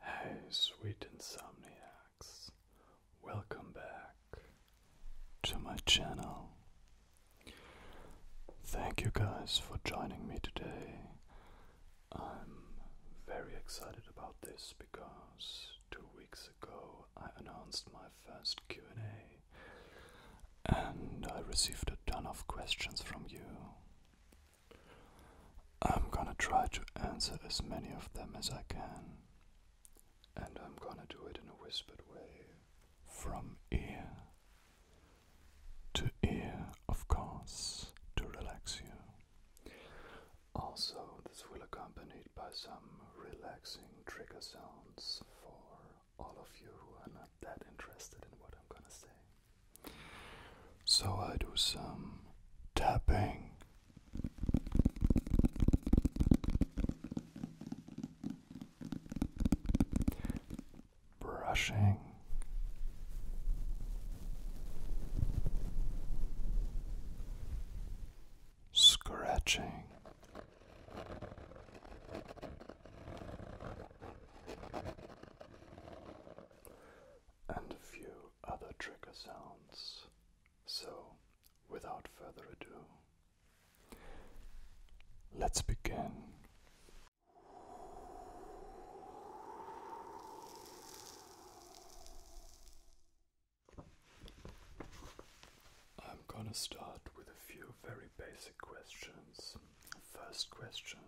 Hey, sweet insomniacs, welcome back to my channel. Thank you guys for joining me today. I'm very excited about this because two weeks ago I announced my first Q&A and I received a ton of questions from you. I'm gonna try to answer as many of them as I can, and I'm gonna do it in a whispered way from ear to ear, of course, to relax you. Also, this will accompanied by some relaxing trigger sounds for all of you who are not that interested in what I'm gonna say. So I do some tapping. Brushing scratching and a few other trigger sounds. So, without further ado, let's begin. I'm gonna start with a few very basic questions. First question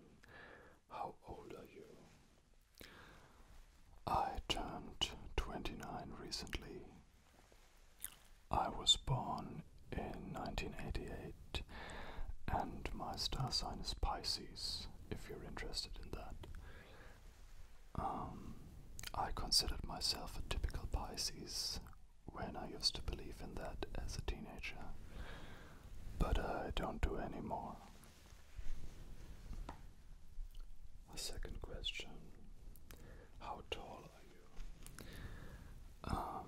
how old are you? I turned 29 recently. I was born in 1988 and my star sign is Pisces, if you're interested in that. Um, I considered myself a typical Pisces when I used to believe in that as a teenager, but I don't do anymore. A second question How tall are you? Um,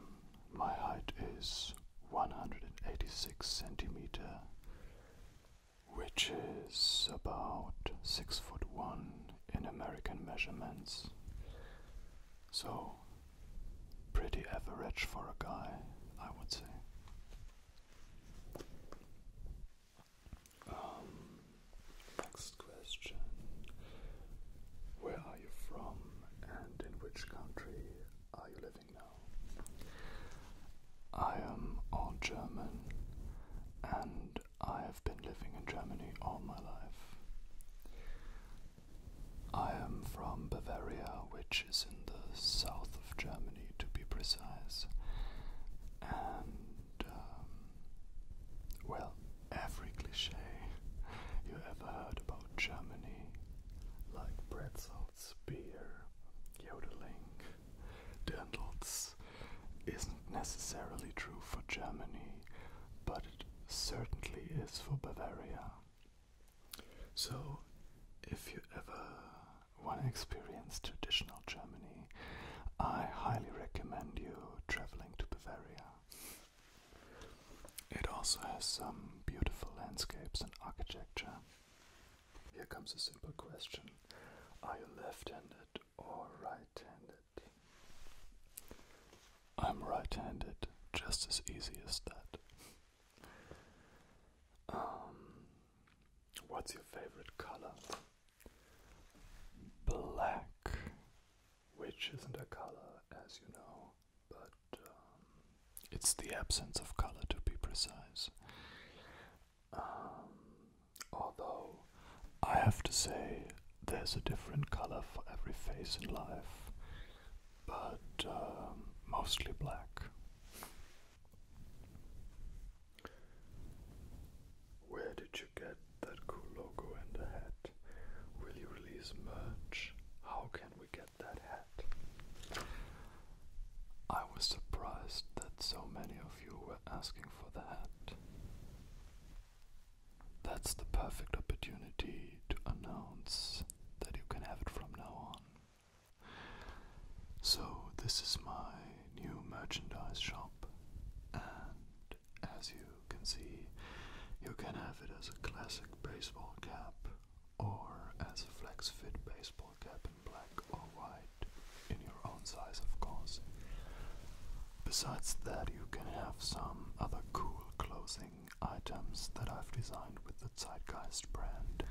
my height is 186 centimeter, which is about 6 foot 1 in American measurements. So Pretty average for a guy, I would say. Um, next question. Where are you from and in which country are you living now? I am all German and I have been living in Germany all my life. I am from Bavaria, which is in the south of Germany to be precise. And, um, well, every cliche you ever heard about Germany, like pretzels, beer, yodeling, dentals, isn't necessarily true for Germany, but it certainly is for Bavaria. So, if you ever want to experience traditional Germany, I highly recommend you traveling to Bavaria. It also has some beautiful landscapes and architecture. Here comes a simple question Are you left handed or right handed? I'm right handed, just as easy as that. Um, what's your favorite color? Black, which isn't a color, as you know, but um, it's the absence of color to be precise. Um, although I have to say, there's a different color for every face in life but um, mostly black. Where did you get that cool logo and the hat? Will you release merch? How can we get that hat? I was surprised that so many of you were asking for the hat. That's the perfect opportunity to announce that you can have it from now on. So, this is my new merchandise shop, and as you can see, you can have it as a classic baseball cap or as a flex fit baseball cap in black or white, in your own size, of course. Besides that, you can have some other cool clothing items that I've designed with the Zeitgeist brand.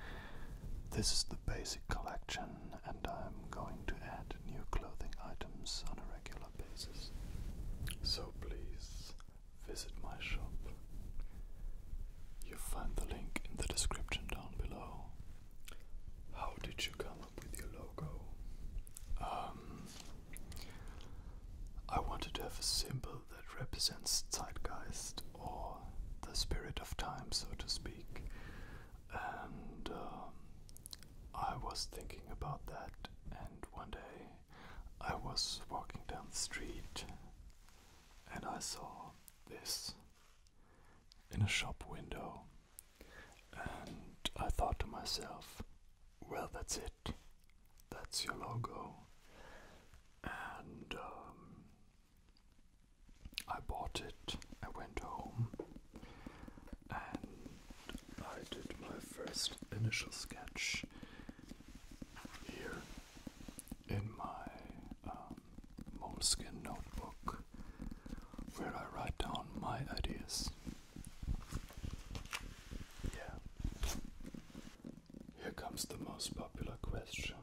This is the basic collection, and I'm going to add new clothing items on a regular basis. So please visit my shop. You'll find the link in the description down below. How did you come up with your logo? Um, I wanted to have a simple that represents zeitgeist or the spirit of time, so to speak. And um, I was thinking about that, and one day I was walking down the street and I saw this in a shop window, and I thought to myself, well, that's it, that's your logo and um, I bought it. I went home and I did my first initial sketch here in my um, moleskin notebook where I write down my ideas. Yeah. Here comes the most popular question.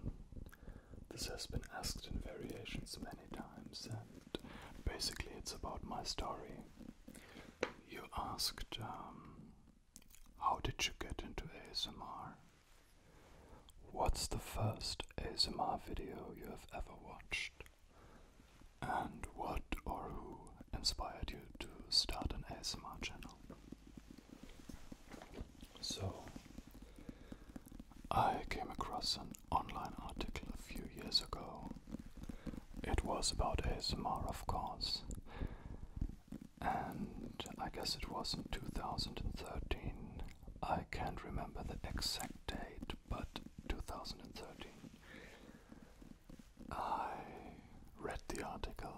This has been asked in variations many times, and basically it's about my story. You asked, um, how did you get into ASMR? What's the first ASMR video you have ever watched? And what or who inspired you to start an ASMR channel? So, I came across an online article a few years ago. It was about ASMR, of course, and I guess it was in 2013. I can't remember the exact date, but 2013. I read the article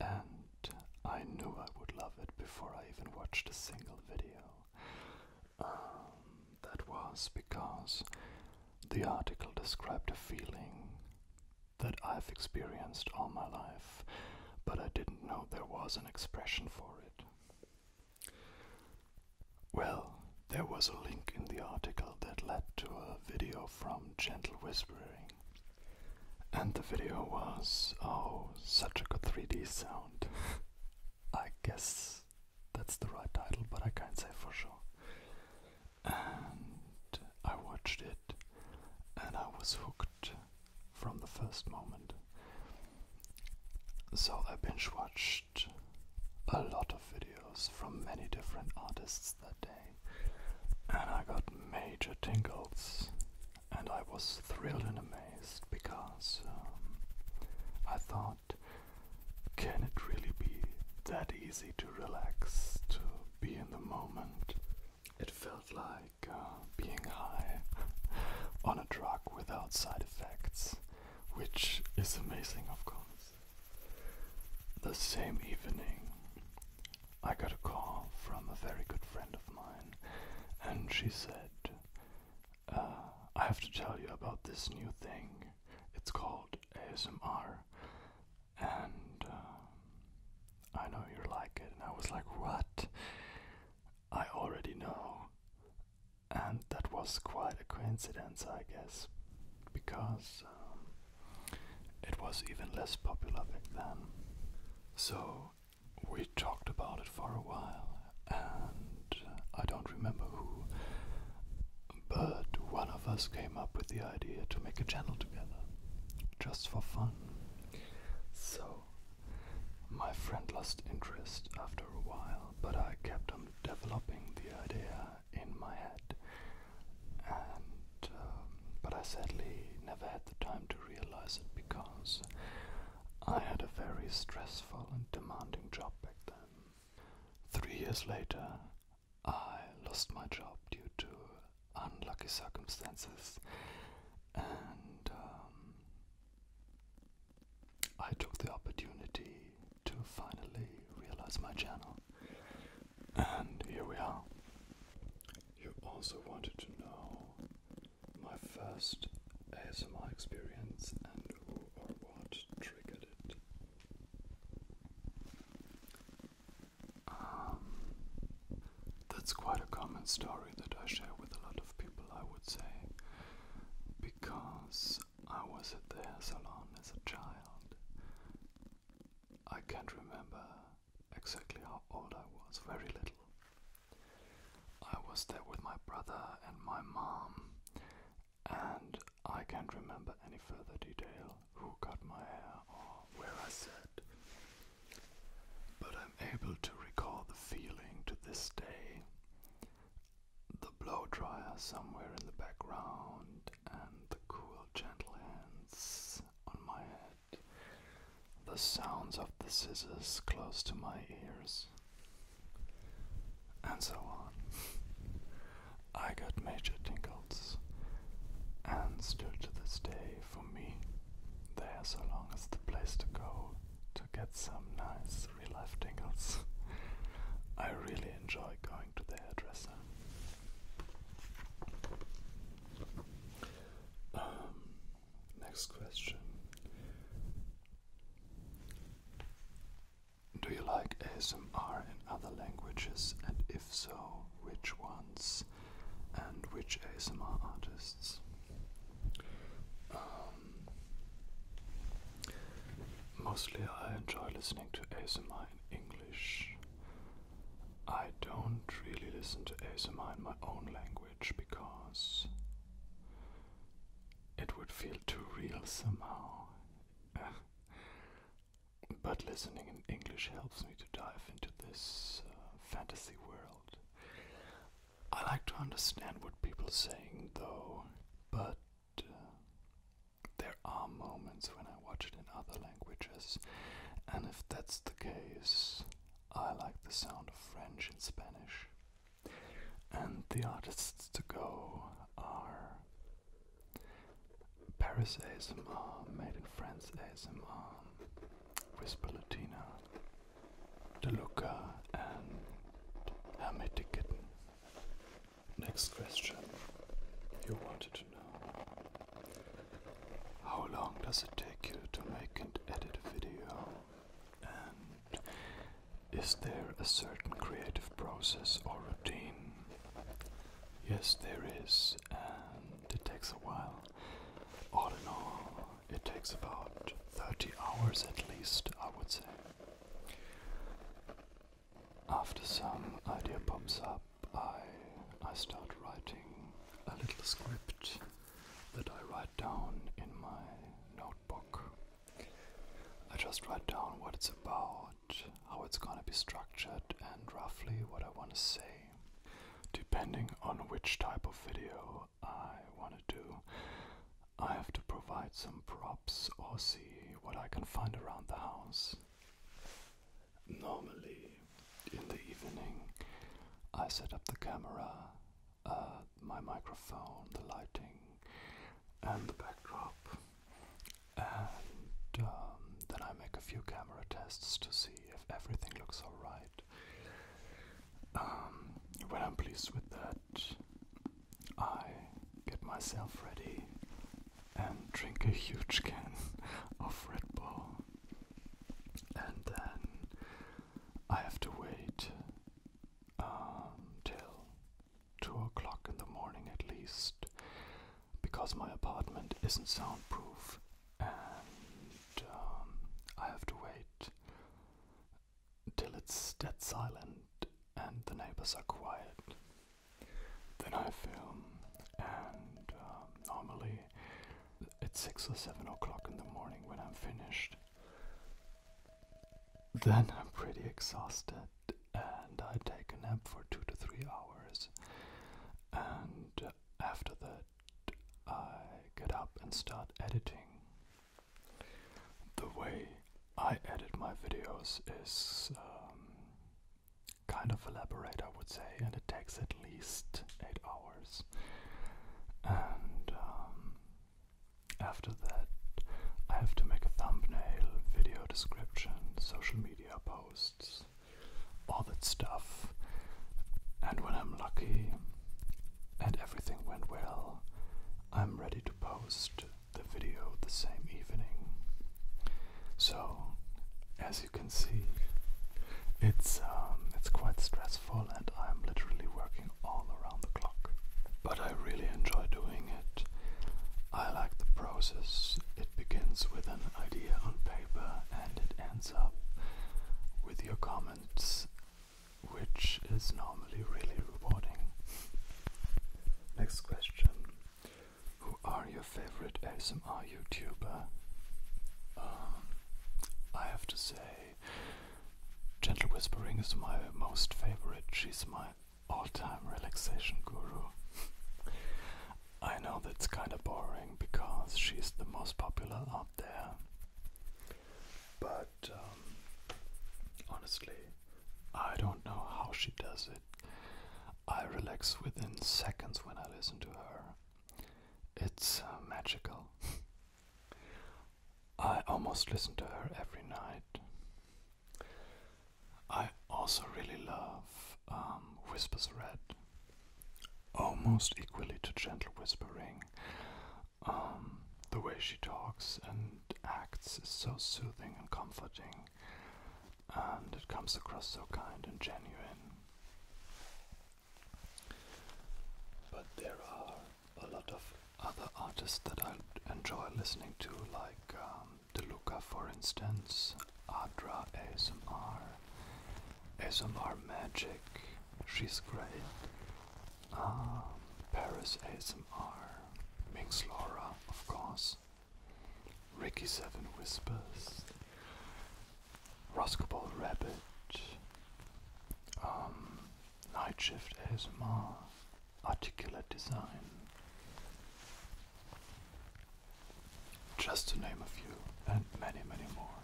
and I knew I would love it before I even watched a single video. Um, that was because the article described a feeling that I've experienced all my life, but I didn't know there was an expression for it. Well, there was a link in the article that led to a video from Gentle Whispering and the video was, oh, such a good 3D sound. I guess that's the right title, but I can't say for sure. And I watched it and I was hooked from the first moment. So I binge watched a lot of videos from many different artists that day, and I got major tingles, and I was thrilled and amazed because um, I thought, can it really be that easy to relax, to be in the moment? It felt like uh, being high on a drug without side effects, which is amazing, of course. The same evening, I got a call from a very good friend of mine, and she said, uh, I have to tell you about this new thing. It's called ASMR, and uh, I know you like it. And I was like, What? I already know. And that was quite a coincidence, I guess, because um, it was even less popular back then. So we talked about it for a while, and uh, I don't remember who, but one of us came up with the idea to make a channel together, just for fun. So my friend lost interest after a while, but I kept on developing the idea in my head um, but I sadly never had the time to realize it because I had a very stressful and demanding job back then. Three years later, I lost my job due to unlucky circumstances, and um, I took the opportunity to finally realize my channel. And here we are. You also wanted to know my first ASMR experience and who or what triggered it. Um, that's quite a common story that I share with a lot of people, I would say, because I was at the salon as a child. I can't remember exactly how old I was, very little. I was there with my brother and my mom, and I can't remember any further detail who cut my hair or where I sat. But I'm able to recall the feeling to this day the blow dryer somewhere in the background, and the cool, gentle hands on my head the sounds of the scissors close to my ears, and so on. I got major tingles and still to this day for me there's so long as the place to go to get some nice real life tingles. I really enjoy going to the hairdresser. Um, next question. Do you like ASMR in other languages, and if so, which ones and which ASMR artists? Um, mostly I enjoy listening to ASMR in English, I don't really listen to ASMR in my own language because it would feel too real somehow. but listening in English helps me to dive into this uh, fantasy world. I like to understand what people are saying though, but uh, there are moments when I watch it in other languages, and if that's the case, I like the sound of French and Spanish. And the artists to go are Paris ASMR, Made in France ASMR, Whisper Latina, DeLuca, and Hermetic Next question. You wanted how long does it take you to make and edit a video? And is there a certain creative process or routine? Yes, there is, and it takes a while. All in all, it takes about 30 hours at least, I would say. After some idea pops up, I, I start writing a little script that I write down in my notebook. I just write down what it's about, how it's gonna be structured, and roughly what I wanna say. Depending on which type of video I wanna do, I have to provide some props or see what I can find around the house. Normally, in the evening, I set up the camera, uh, my microphone, the lighting, and the backdrop, and um, then I make a few camera tests to see if everything looks alright. Um, when I'm pleased with that, I get myself ready and drink a huge can of Red Bull and then I have to wait um, till two o'clock in the morning at least because my apartment isn't soundproof and um, I have to wait till it's dead silent and the neighbors are quiet. Then I film and um, normally it's six or seven o'clock in the morning when I'm finished. Then I'm pretty exhausted and I take a nap for two to three hours. And after that, I get up and start editing. The way I edit my videos is um, kind of elaborate, I would say, and it takes at least eight hours. And um, after that, I have to make a thumbnail, video description, social media posts, all that stuff. And when I'm lucky and everything went well, I'm ready to post the video the same evening. So, as you can see, it's um, it's quite stressful, and I'm literally working all around the clock. But I really enjoy doing it. I like the process. It begins with an idea on paper, and it ends up with your comments, which is normally really rewarding. Next question. Who are your favorite ASMR YouTuber? Um, I have to say, Gentle Whispering is my most favorite. She's my all-time relaxation guru. I know that's kind of boring because she's the most popular out there. But um, honestly, I don't know how she does it. I relax within seconds when I listen to her. It's uh, magical. I almost listen to her every night. I also really love um, Whispers Red, almost equally to Gentle Whispering. Um, the way she talks and acts is so soothing and comforting and it comes across so kind and genuine. But there are a lot of other artists that I enjoy listening to, like um, Deluka, for instance, Adra ASMR, ASMR Magic, she's great, um, Paris ASMR, Minks Laura, of course. Ricky Seven Whispers, Roscoball Rabbit, Nightshift um, Night Articulate Design, just to name a few, and many, many more.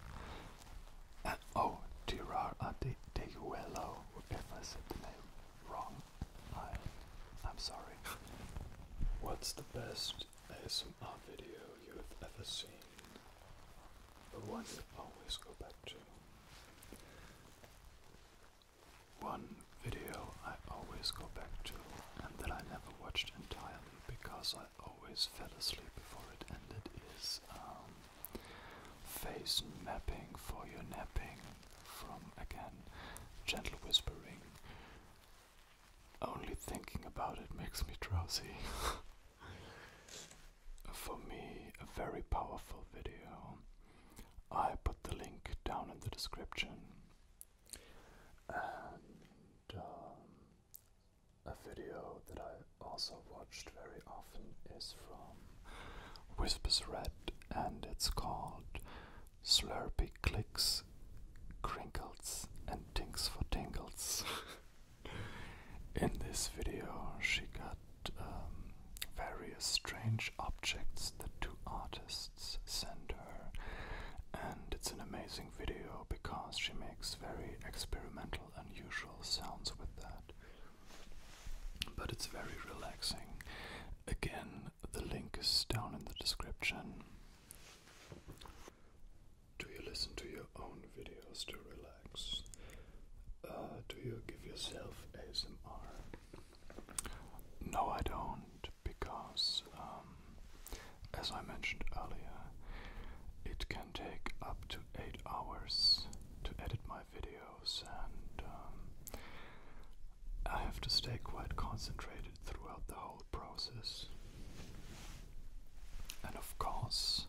And oh, Tirar Adeyuelo, if I said the name wrong, I, I'm sorry. What's the best there's some art video you have ever seen, the one you always go back to. One video I always go back to, and that I never watched entirely because I always fell asleep before it ended, is um, face mapping for your napping from again, gentle whispering. Only thinking about it makes me drowsy. For me, a very powerful video. I put the link down in the description. And um, a video that I also watched very often is from Whispers Red, and it's called Slurpy Clicks crinkles, and tinks for tingles. In this video, she got um, various strange objects that two artists sent her, and it's an amazing video because she makes very experimental, unusual sounds with that. But it's very relaxing. Again, the link is down in the description. Do you listen to your own videos to relax? Uh, do you give yourself a smr? No, I don't, because, um, as I mentioned earlier, it can take up to 8 hours to edit my videos, and um, I have to stay quite concentrated throughout the whole process. And of course,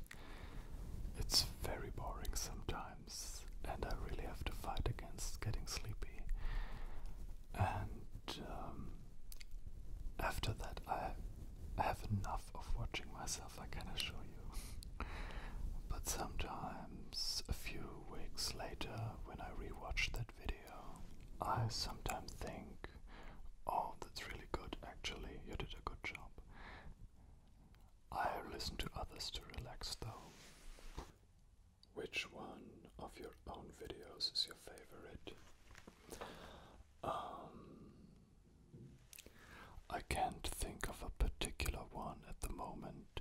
it's very boring sometimes, and I really have to fight against getting sleepy. And um, after that, I have enough of watching myself, I can assure you. but sometimes, a few weeks later, when I rewatch that video, I sometimes think oh, that's really good, actually, you did a good job. I have listened to others to relax though. Which one of your own videos is your favorite? Um, I can't think of a particular one at the moment.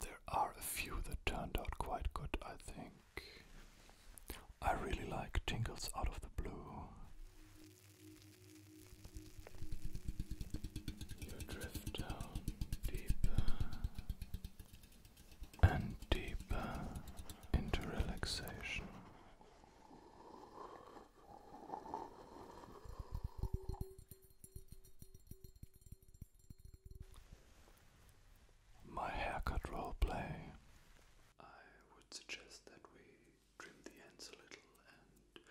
There are a few that turned out quite good, I think. I really like tingles out of the blue. You drift down deeper and deeper into relaxation my haircut role play. I would suggest that we trim the ends a little and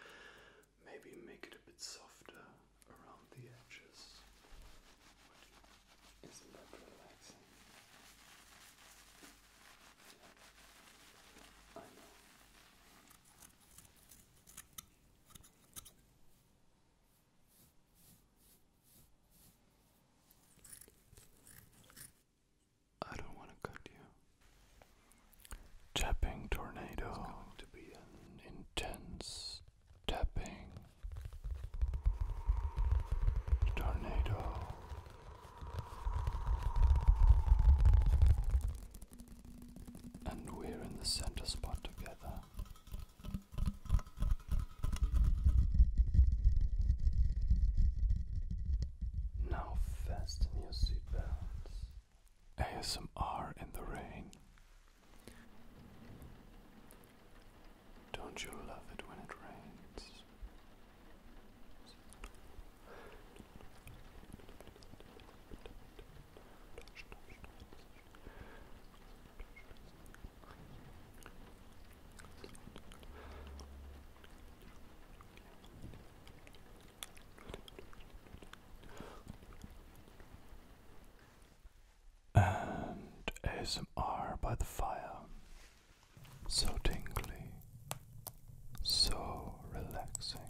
maybe make it a bit softer around the edges. Isn't that relaxing? I don't want to cut you. Tapping tornado. It's going to be an intense tapping tornado. And we're in the center spot together. Now fasten your seatbelts. ASMR in the rain. Don't you love it when it rains? And ASMR by the fire. So tingly, so relaxing.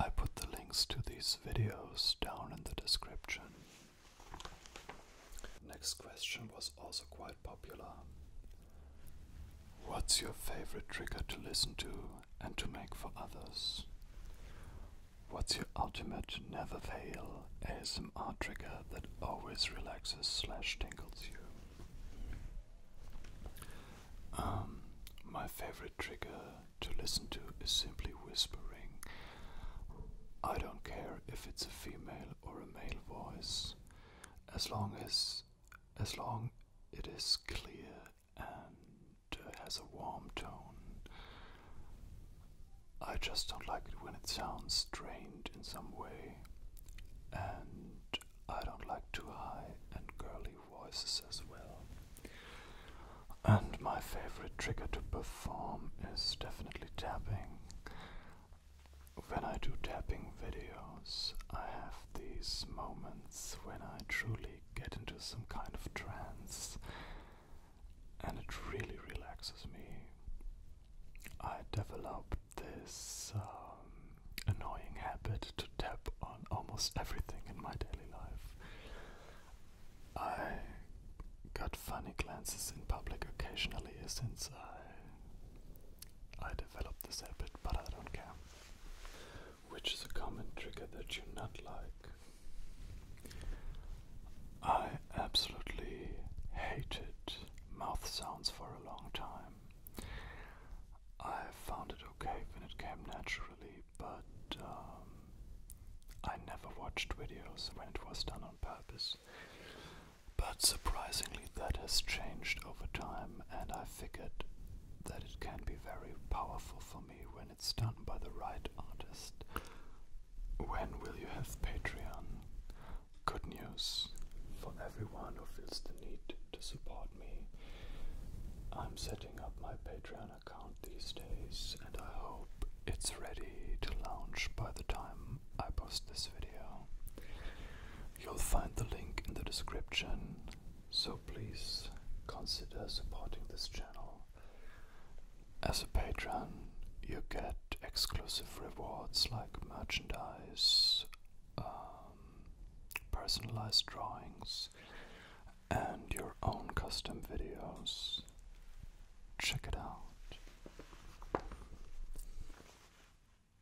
I put the links to these videos down in the description. Next question was also quite popular. What's your favorite trigger to listen to and to make for others? What's your ultimate never fail ASMR trigger that always relaxes slash tingles you? Um, my favorite trigger to listen to is simply whispering I don't care if it's a female or a male voice, as long as as long it is clear and has a warm tone. I just don't like it when it sounds strained in some way, and I don't like too high and girly voices as well. And my favorite trigger to perform is definitely tapping. When I do tapping videos, I have these moments when I truly get into some kind of trance and it really relaxes me. I developed this um, annoying habit to tap on almost everything in my daily life. I got funny glances in public occasionally since I I developed this habit, but I don't care. Which is a common trigger that you not like. I absolutely hated mouth sounds for a long time. I found it okay when it came naturally, but um, I never watched videos when it was done on purpose. But surprisingly, that has changed over time, and I figured that it can be very powerful for me when it's done by the right artist. When will you have Patreon? Good news for everyone who feels the need to support me. I'm setting up my Patreon an account these days, and I hope it's ready to launch by the time I post this video. You'll find the link in the description, so please consider supporting this channel. As a patron, you get exclusive rewards like merchandise, um, personalized drawings, and your own custom videos. Check it out.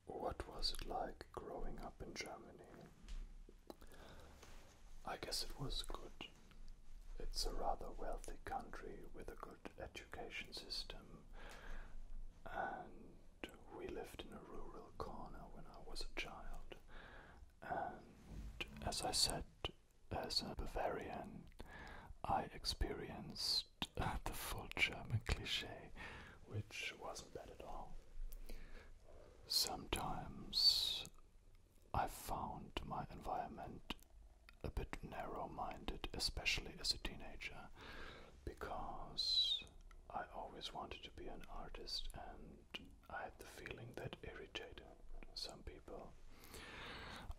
What was it like growing up in Germany? I guess it was good. It's a rather wealthy country with a good education system, and we lived in a rural corner when I was a child. And as I said, as a Bavarian, I experienced uh, the full German cliche, which wasn't bad at all. Sometimes I found my environment a bit narrow minded, especially as a teenager, because I always wanted to be an artist and I had the feeling that a some people.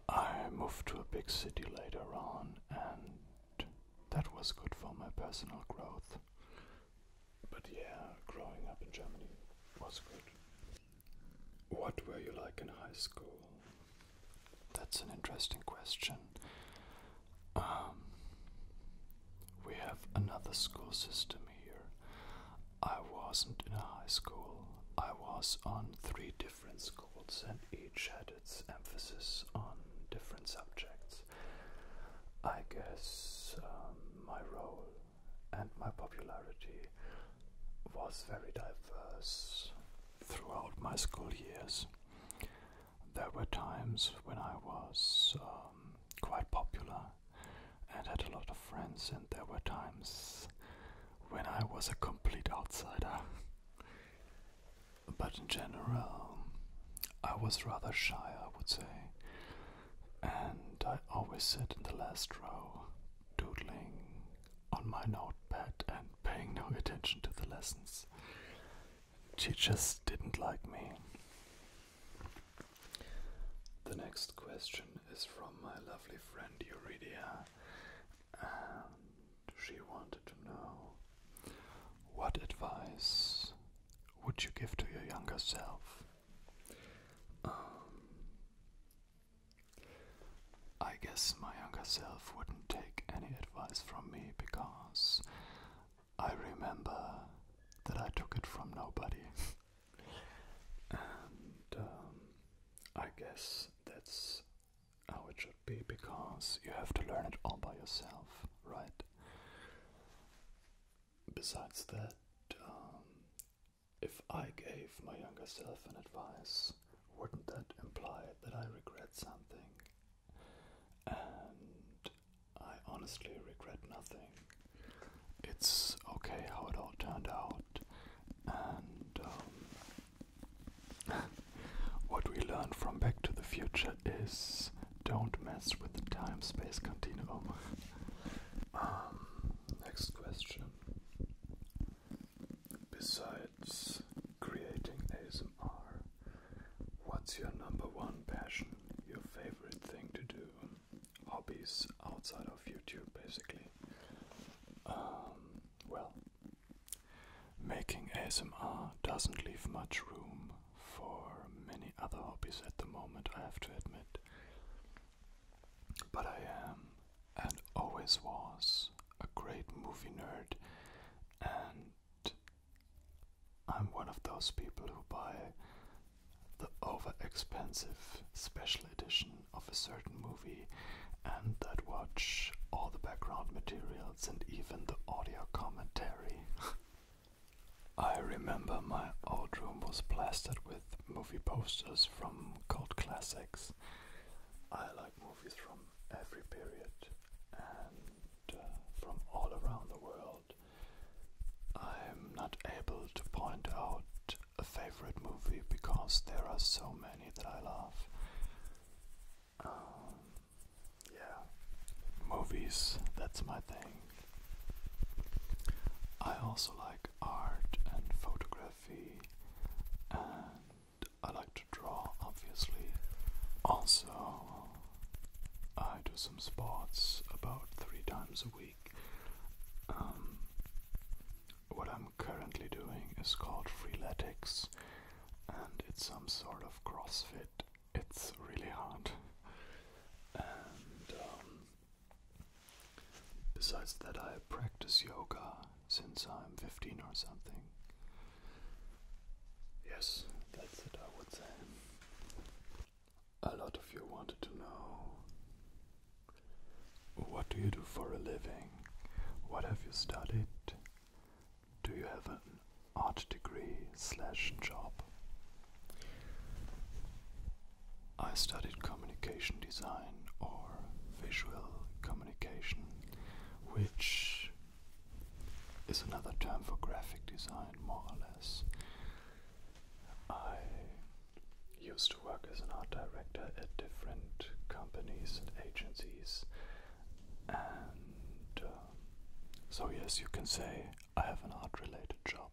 I moved to a big city later on, and that was good for my personal growth. But yeah, growing up in Germany was good. What were you like in high school? That's an interesting question. Um, we have another school system here. I wasn't in a high school. I was on three different schools, and each had its emphasis on different subjects. I guess um, my role and my popularity was very diverse throughout my school years. There were times when I was um, quite popular and had a lot of friends, and there were times when I was a complete outsider. but in general, I was rather shy, I would say, and I always sit in the last row, doodling on my notepad and paying no attention to the lessons. Teachers didn't like me. The next question is from my lovely friend Eurydia she wanted to know what advice would you give to your younger self? Um, I guess my younger self wouldn't take any advice from me because I remember that I took it from nobody. And um, I guess that's how it should be because you have to learn it all by yourself, right? Besides that, um, if I gave my younger self an advice, wouldn't that imply that I regret something? And I honestly regret nothing. It's okay how it all turned out. And um, what we learned from Back to the Future is don't mess with the time space continuum. Um, next question. Besides creating ASMR, what's your number one passion, your favorite thing to do? Hobbies outside of YouTube, basically. Um, well, making ASMR doesn't leave much room for many other hobbies at the moment, I have to admit. But I am, and always was, a great movie nerd, and I'm one of those people who buy the over expensive special edition of a certain movie and that watch all the background materials and even the audio commentary. I remember my old room was plastered with movie posters from cult classics. I like movies from every period and uh, from all around the world. I'm not able to point out a favorite movie because there are so many that I love. Um, yeah, movies, that's my thing. I also like art and photography, and I like to draw, obviously. Also, I do some sports about three times a week. Um, what I'm currently doing is called freeletics, and it's some sort of CrossFit. It's really hard. And um, besides that, I practice yoga since I'm 15 or something. Yes, that's it, I would say. A lot of you wanted to know what do you do for a living? What have you studied? Do you have an art degree slash job? I studied communication design or visual communication, which is another term for graphic design, more or less. I he used to work as an art director at different companies and agencies. And um, so, yes, you can say I have an art related job.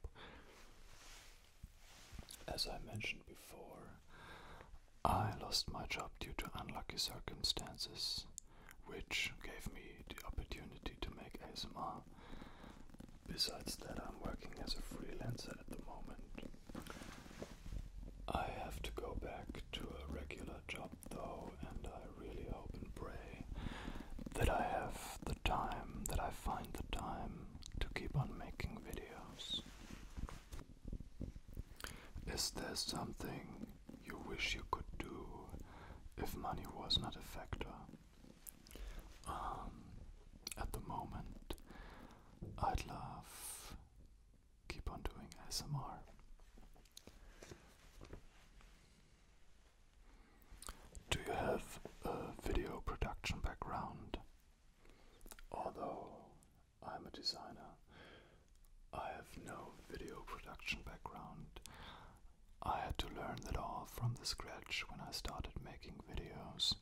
As I mentioned before, I lost my job due to unlucky circumstances, which gave me the opportunity to make ASMR. Besides that, I'm working as a freelancer at the moment, I have to go back to a regular job though, and I really hope and pray that I have the time, that I find the time to keep on making videos. Is there something you wish you could do if money was not a factor? Um, at the moment, I'd love keep on doing ASMR. Do you have a video production background? Although I'm a designer, I have no video production background. I had to learn that all from the scratch when I started making videos.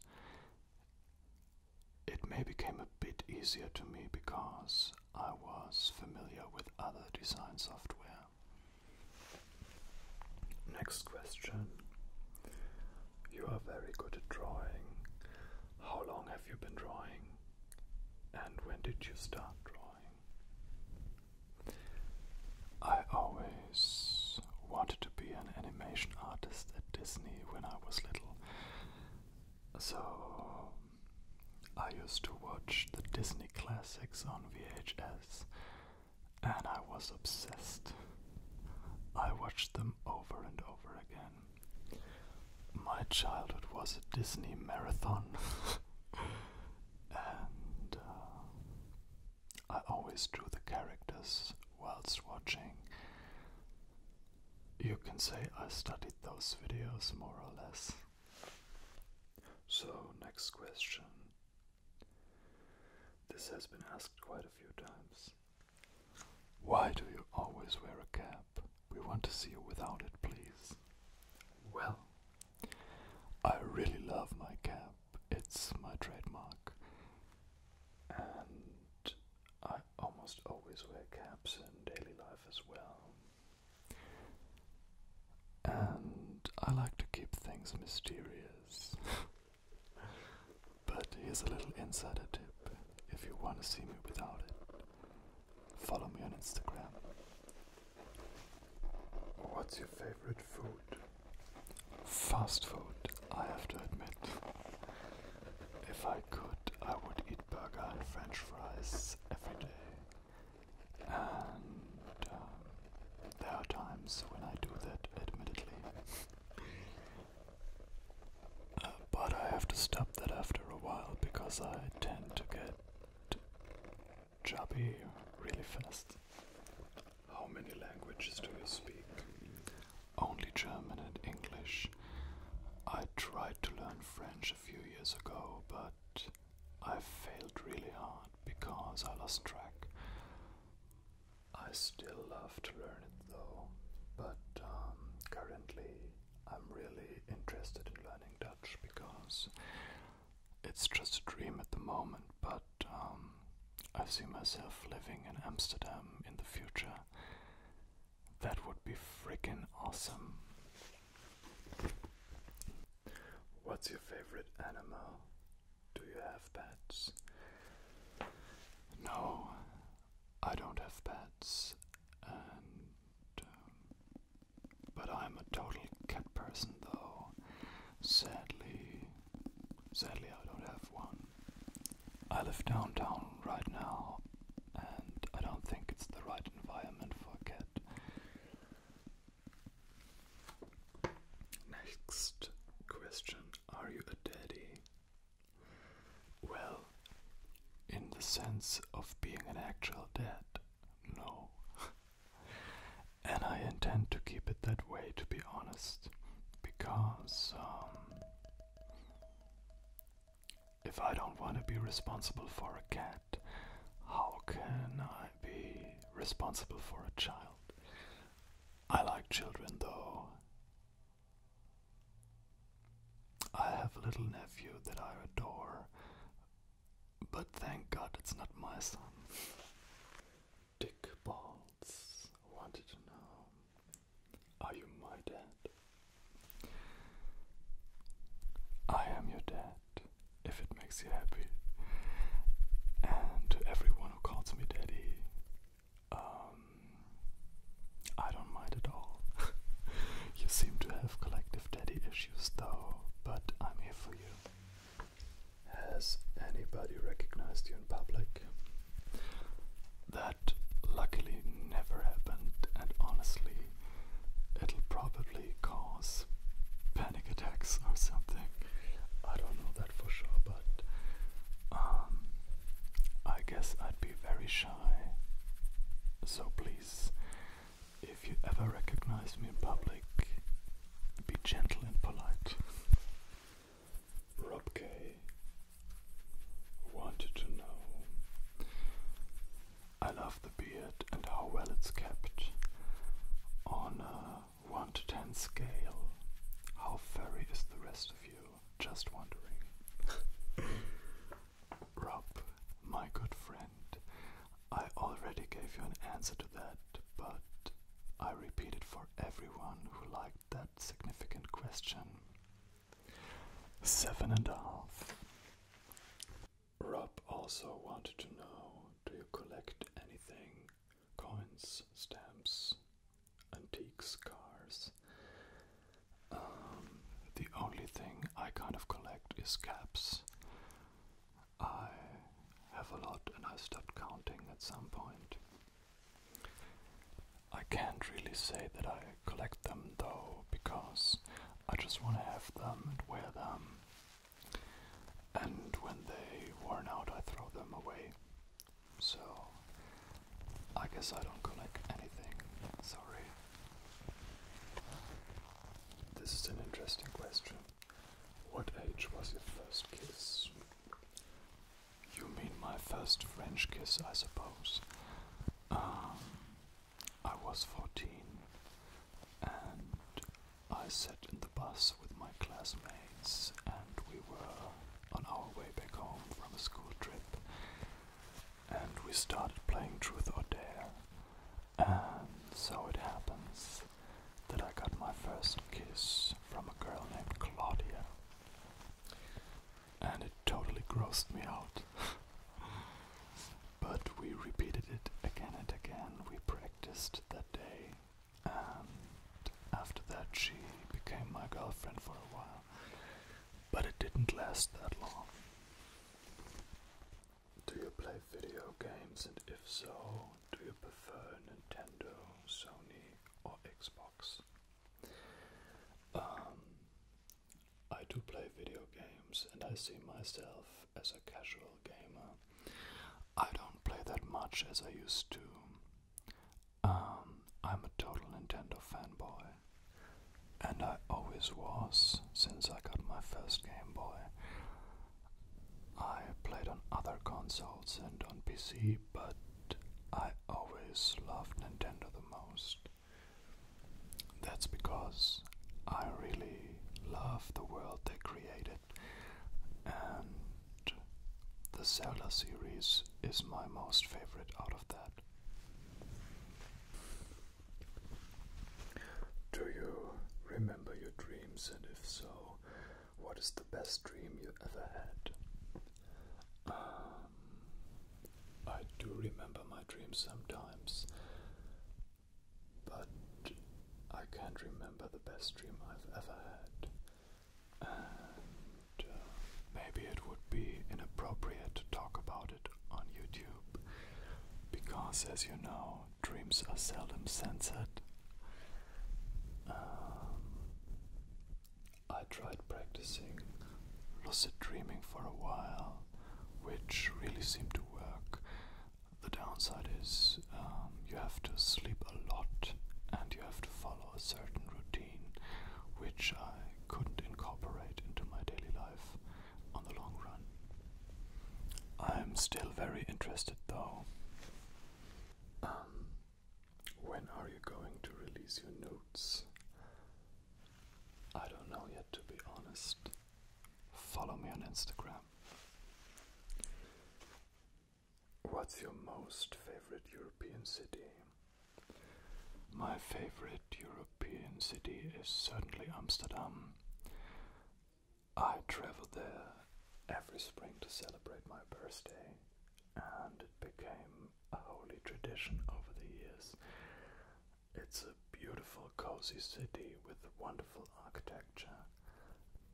It may became a bit easier to me because I was familiar with other design software. Next question. You are very good at drawing. How long have you been drawing? And when did you start drawing? I always wanted to be an animation artist at Disney when I was little. So I used to watch the Disney classics on VHS and I was obsessed. I watched them over and over again. My childhood was a Disney marathon. and uh, I always drew the characters whilst watching, you can say I studied those videos more or less. So, next question. This has been asked quite a few times. Why do you always wear a cap? We want to see you without it, please. Well, I really love my cap. It's my trademark. And I almost always wear caps in daily life as well. And I like to keep things mysterious. but here's a little insider tip if you want to see me without it, follow me on Instagram. What's your favorite food? Fast food, I have to admit. If I could, I would eat burger and french fries every day. And um, there are times when I do that, admittedly. Uh, but I have to stop that after a while because I tend to get chubby really fast. How many languages do you speak? Only German and English. I tried to learn French a few years ago, but I failed really hard because I lost track. I still love to learn it though, but um, currently I'm really interested in learning Dutch because it's just a dream at the moment, but um, I see myself living in Amsterdam in the future. That would be freaking awesome. What's your favorite animal? Do you have pets? No, I don't have pets, um, but I'm a total cat person, though. Sadly, sadly, I don't have one. I live downtown right now, and I don't think it's the right environment for a cat. Next question Are you a daddy? Well, in the sense of being an actual dad, no. and I intend to keep it that way, to be honest, because um, if I don't want to be responsible for a cat, how can I be responsible for a child? I like children though. I have a little nephew that I adore, but thank God it's not my son. Dick Balls wanted to know are you my dad? I am your dad, if it makes you happy. And to everyone who calls me daddy, um, I don't mind at all. you seem to have collective daddy issues though, but I'm here for you. Has anybody recognized you in public? That luckily never happened, and honestly, it'll probably cause panic attacks or something. I don't know that for sure, but um, I guess I'd be very shy. So please, if you ever recognize me in public, be gentle and polite. Rob K wanted to know. I love the beard and how well it's kept. On a 1 to 10 scale, how furry is the rest of you? Just wondering. Rob, my good friend, I already gave you an answer to that, but I repeat it for everyone who likes like that significant question. Seven and a half. Rob also wanted to know do you collect anything? Coins, stamps, antiques, cars. Um, the only thing I kind of collect is caps. I have a lot and I stopped counting at some point. I can't really say that I collect them though, because I just want to have them and wear them. And when they worn out, I throw them away. So, I guess I don't collect anything. Sorry. This is an interesting question. What age was your first kiss? You mean my first French kiss, I suppose. Um, I was 14 and I sat in the bus with my classmates and we were on our way back home from a school trip and we started playing Truth or Dare and so it happens that I got my first kiss from a girl named Claudia and it totally grossed me out. but we repeated it again and again. We practiced that day, and after that, she became my girlfriend for a while. But it didn't last that long. Do you play video games, and if so, do you prefer Nintendo, Sony, or Xbox? Um, I do play video games and I see myself as a casual gamer. I don't play that much as I used to. Um, I'm a total Nintendo fanboy, and I always was since I got my first Game Boy. I played on other consoles and on PC, but I always loved Nintendo the most. That's because I really love the world they created, and the Zelda series is my most favorite out of that. Do you remember your dreams, and if so, what is the best dream you ever had? Um, I do remember my dreams sometimes, but I can't remember the best dream I've ever had. Uh, maybe it would be inappropriate to talk about it on YouTube, because as you know, dreams are seldom censored. Um, I tried practicing lucid dreaming for a while, which really seemed to work. The downside is um, you have to sleep a lot and you have to follow a certain routine, which I couldn't incorporate into my daily life on the long run. I'm still very interested though. Um, when are you going to release your notes? I don't know yet, to be honest. Follow me on Instagram. What's your most favorite European city? My favorite European city is certainly Amsterdam. I travel there every spring to celebrate my birthday and it became a holy tradition over the years. It's a beautiful, cozy city with wonderful architecture,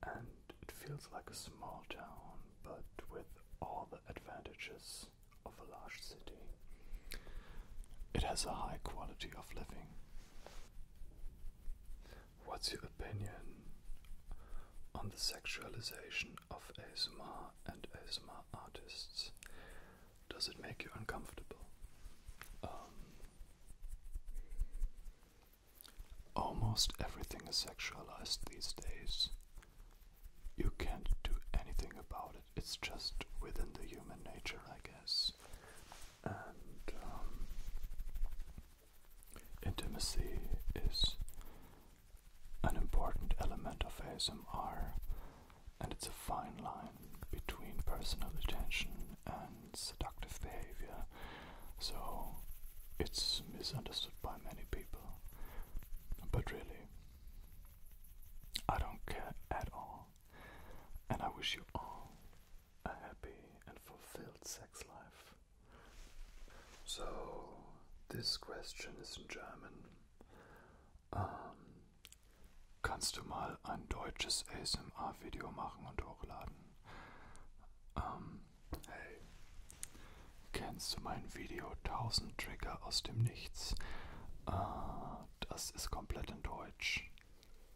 and it feels like a small town, but with all the advantages of a large city. It has a high quality of living. What's opinion on the sexualization of ASMR and ASMR artists. Does it make you uncomfortable? Um, almost everything is sexualized these days. You can't do anything about it. It's just within the human nature, I guess. Um, Intimacy is an important element of ASMR, and it's a fine line between personal attention and seductive behavior, so it's misunderstood by many people. But really, I don't care at all, and I wish you all a happy and fulfilled sex life. So, this question is in German. Ähm, kannst du mal ein deutsches ASMR-Video machen und hochladen? Ähm, hey, kennst du mein Video 1000 Trigger aus dem Nichts? Äh, das ist komplett in Deutsch.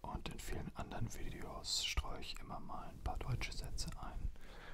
Und in vielen anderen Videos streue ich immer mal ein paar deutsche Sätze ein.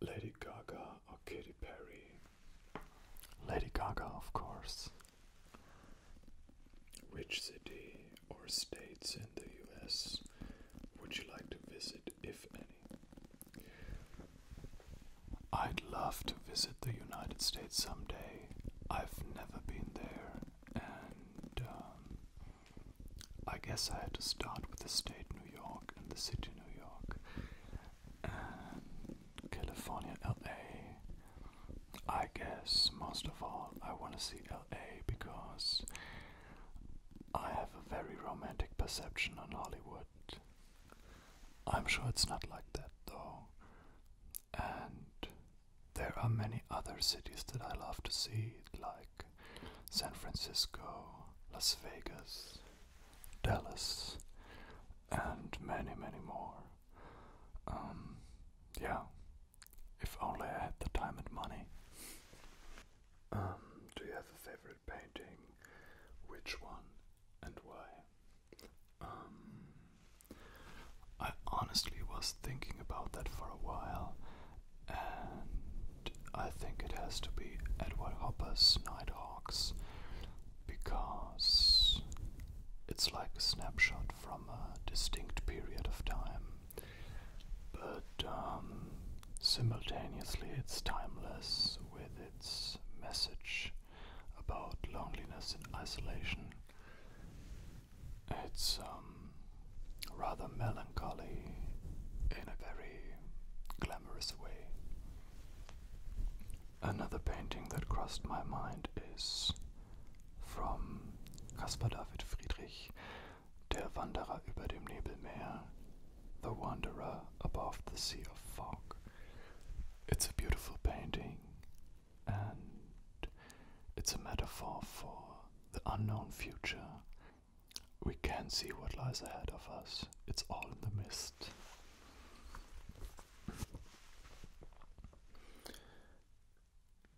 Lady Gaga or Katy Perry? Lady Gaga, of course. Which city or states in the US would you like to visit, if any? I'd love to visit the United States someday. I've never been there, and um, I guess I had to start with the state New York and the city New York and California, LA. I guess most of all, I want to see LA because I have a very romantic perception on Hollywood. I'm sure it's not like that though. And there are many other cities that I love to see, like San Francisco, Las Vegas, Dallas, and many, many more. Um, yeah, if only I had the time and money. Um, do you have a favorite painting? Which one and why? Um, I honestly was thinking about that for a while, and I think it has to be Edward Hopper's Nighthawks because it's like a snapshot from a distinct period of time, but um, simultaneously it's timeless with its message about loneliness and isolation. It's um, rather melancholy in a very glamorous way. Another painting that crossed my mind is from Caspar David Friedrich, Der Wanderer über dem Nebelmeer, The Wanderer Above the Sea of Fog. It's a beautiful painting, and it's a metaphor for the unknown future. We can not see what lies ahead of us, it's all in the mist.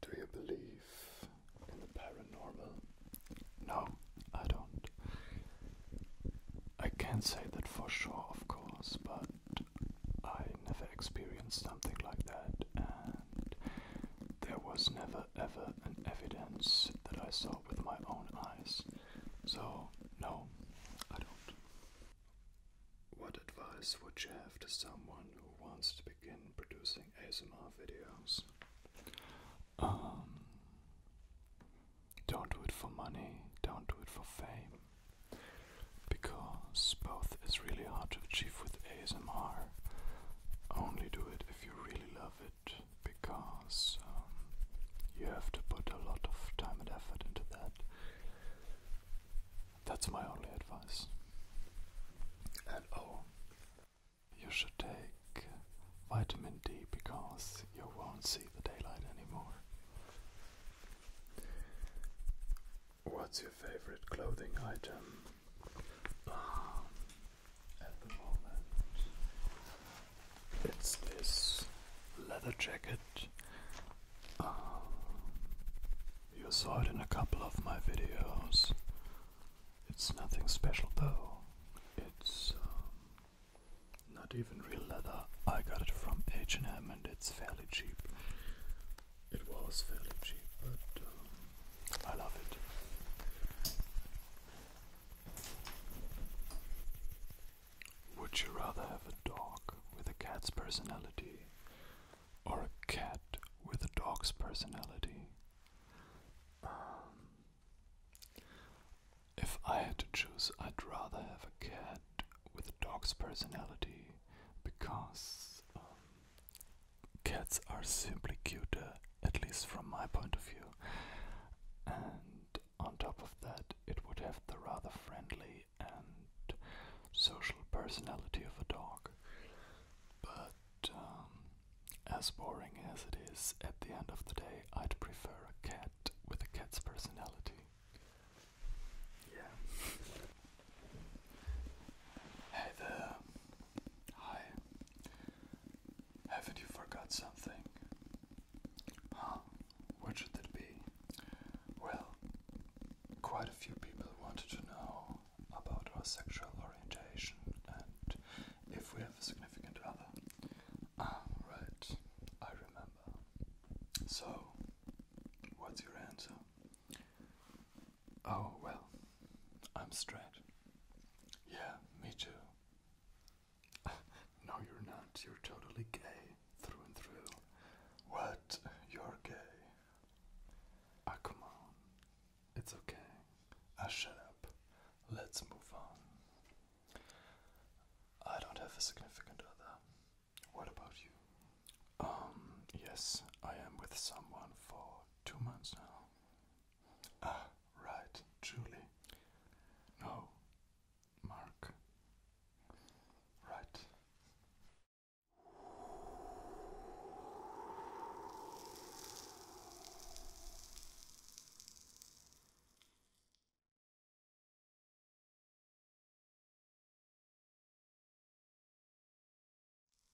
Do you believe in the paranormal? No, I don't. I can't say that for sure, of course, but I never experienced something like that, and there was never ever an evidence that I saw with my own eyes. So, no, I don't. What advice would you have to someone who wants to begin producing ASMR videos? Um, don't do it for money, don't do it for fame, because both is really hard to achieve with ASMR. Only do it if if you really love it because um, you have to put a lot of time and effort into that. That's my only advice. And oh, you should take vitamin D because you won't see the daylight anymore. What's your favorite clothing item? at the moment, it's this leather jacket. Um, you saw it in a couple of my videos. It's nothing special though. It's um, not even real leather. I got it from H&M and it's fairly cheap. It was fairly cheap, but um, I love it. Would you rather have a dog with a cat's personality or a cat with a dog's personality? Um, if I had to choose, I'd rather have a cat with a dog's personality because um, Cats are simply cuter, at least from my point of view. And on top of that, it would have the rather friendly and social personality of a dog. But um, as boring as it is, at the end of the day, I'd prefer a cat with a cat's personality. Yeah. hey Hi. Haven't you forgot something? Huh? What should it be? Well, quite a few people wanted to know about our sexual orientation and if we have a significant other. Ah, right. I remember. So, what's your answer? Oh, well, I'm straight. Yeah, me too. no, you're not. You're totally gay, through and through. What? You're gay? Ah, come on. It's okay. Ah, shut up. Let's move on. I don't have a significant other. What about you? Um, yes, I am with someone for two months now. Ah, right, Julie. No, Mark. Right.